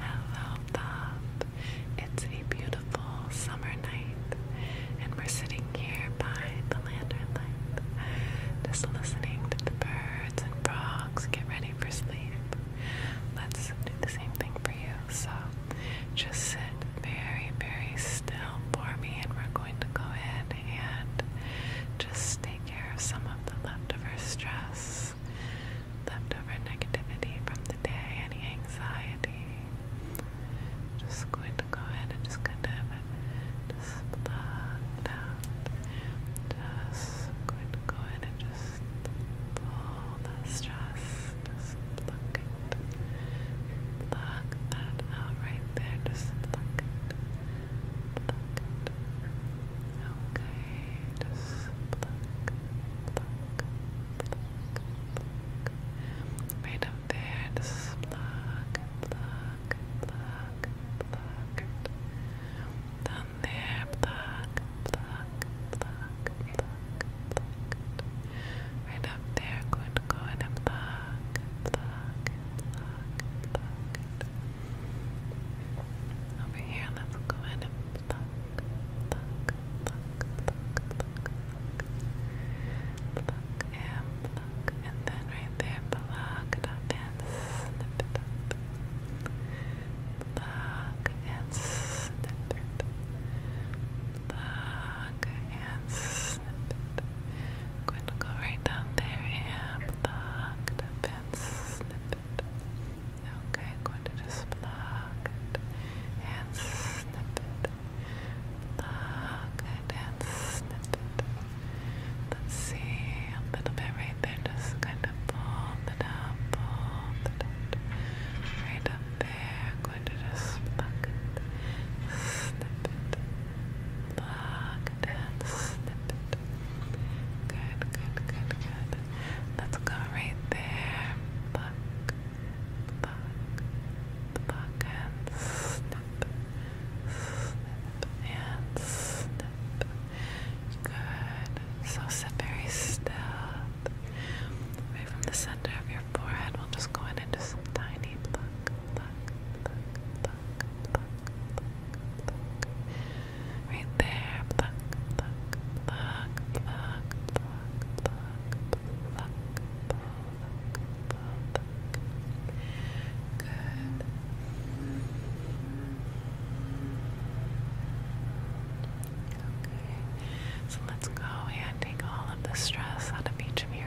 Hello, Bob. It's a beautiful summer night, and we're sitting here by the lantern light, just listening to the birds and frogs get ready for sleep. Let's do the same thing for you. So just sit very, very still for me, and we're going to go ahead and just take care of some of the leftover stress stress, leftover negativity from the day, any anxiety. Just going to go ahead and just kind of just block it out. Just going to go ahead and just pull that stress. Just pluck it. Pluck that out right there. Just pluck it. Pluck it. Okay. Just pluck, Right up there, just pluck, pluck, pluck, pluck. Down there, pluck, pluck, pluck, pluck, Right up there, good, good, and pluck, pluck, pluck, pluck. Over here, let's go ahead and pluck, pluck, pluck, pluck, pluck, pluck, pluck and and then right there, pluck it up and and snip it. and snip it. i going to go right down there and pluck it up and snip it. Okay, I'm going to just plug it and snip it. Plug it and snip it. Let's see, a little bit right there, just kind of pull it up, pull it up. Right up there, I'm going to just plug it, snip it. Plug it and snip it. Good, good, good, good. Let's go right there. Pluck, pluck, pluck, and snip, and snip. Good. So sit very still. Right from the center of your forehead, we'll just go in and just tiny pluck, Right there, Good. Okay, so let's go and take all of the stress out of each of your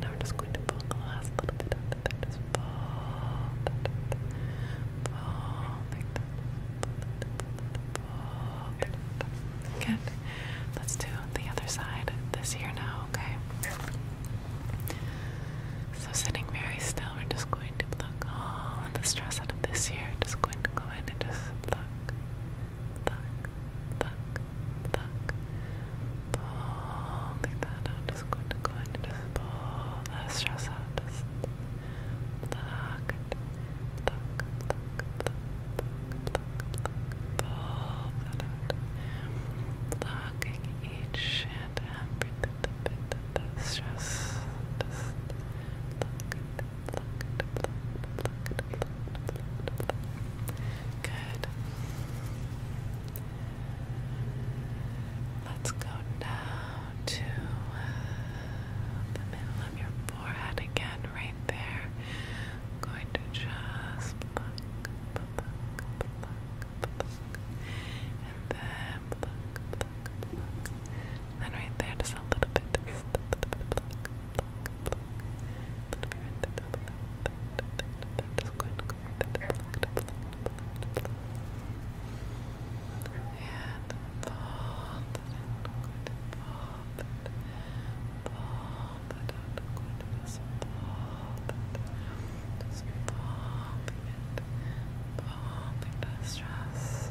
now we're just going to pull the last little bit of there. pull, pull, Pull, pull, pull. Good. Let's do the other side this year now, okay? So sitting very still, we're just going to pluck all the stress out of this year. Just going to go in and just pluck, Fuck, fuck, fuck. Pulling that out. Just going to go ahead and just pull that stress out. Just pluck it. Pluck, pluck, pluck, pluck, Pull that out. Plucking each and every bit of the stress. Just pluck it. Good. Let's go now to uh, the middle of your forehead again, right there. going to just and then and right there, just a little bit. Just a little bit. Pluck, pluck, pluck. Little bit right there. Pluck, pluck, pluck. Just going to go right there. Pluck, pluck, pluck, pluck. And fold it in. I'm going to fold it. Fold it out. I'm going to just fold it. Just folding it. Folding the stress. Fold it.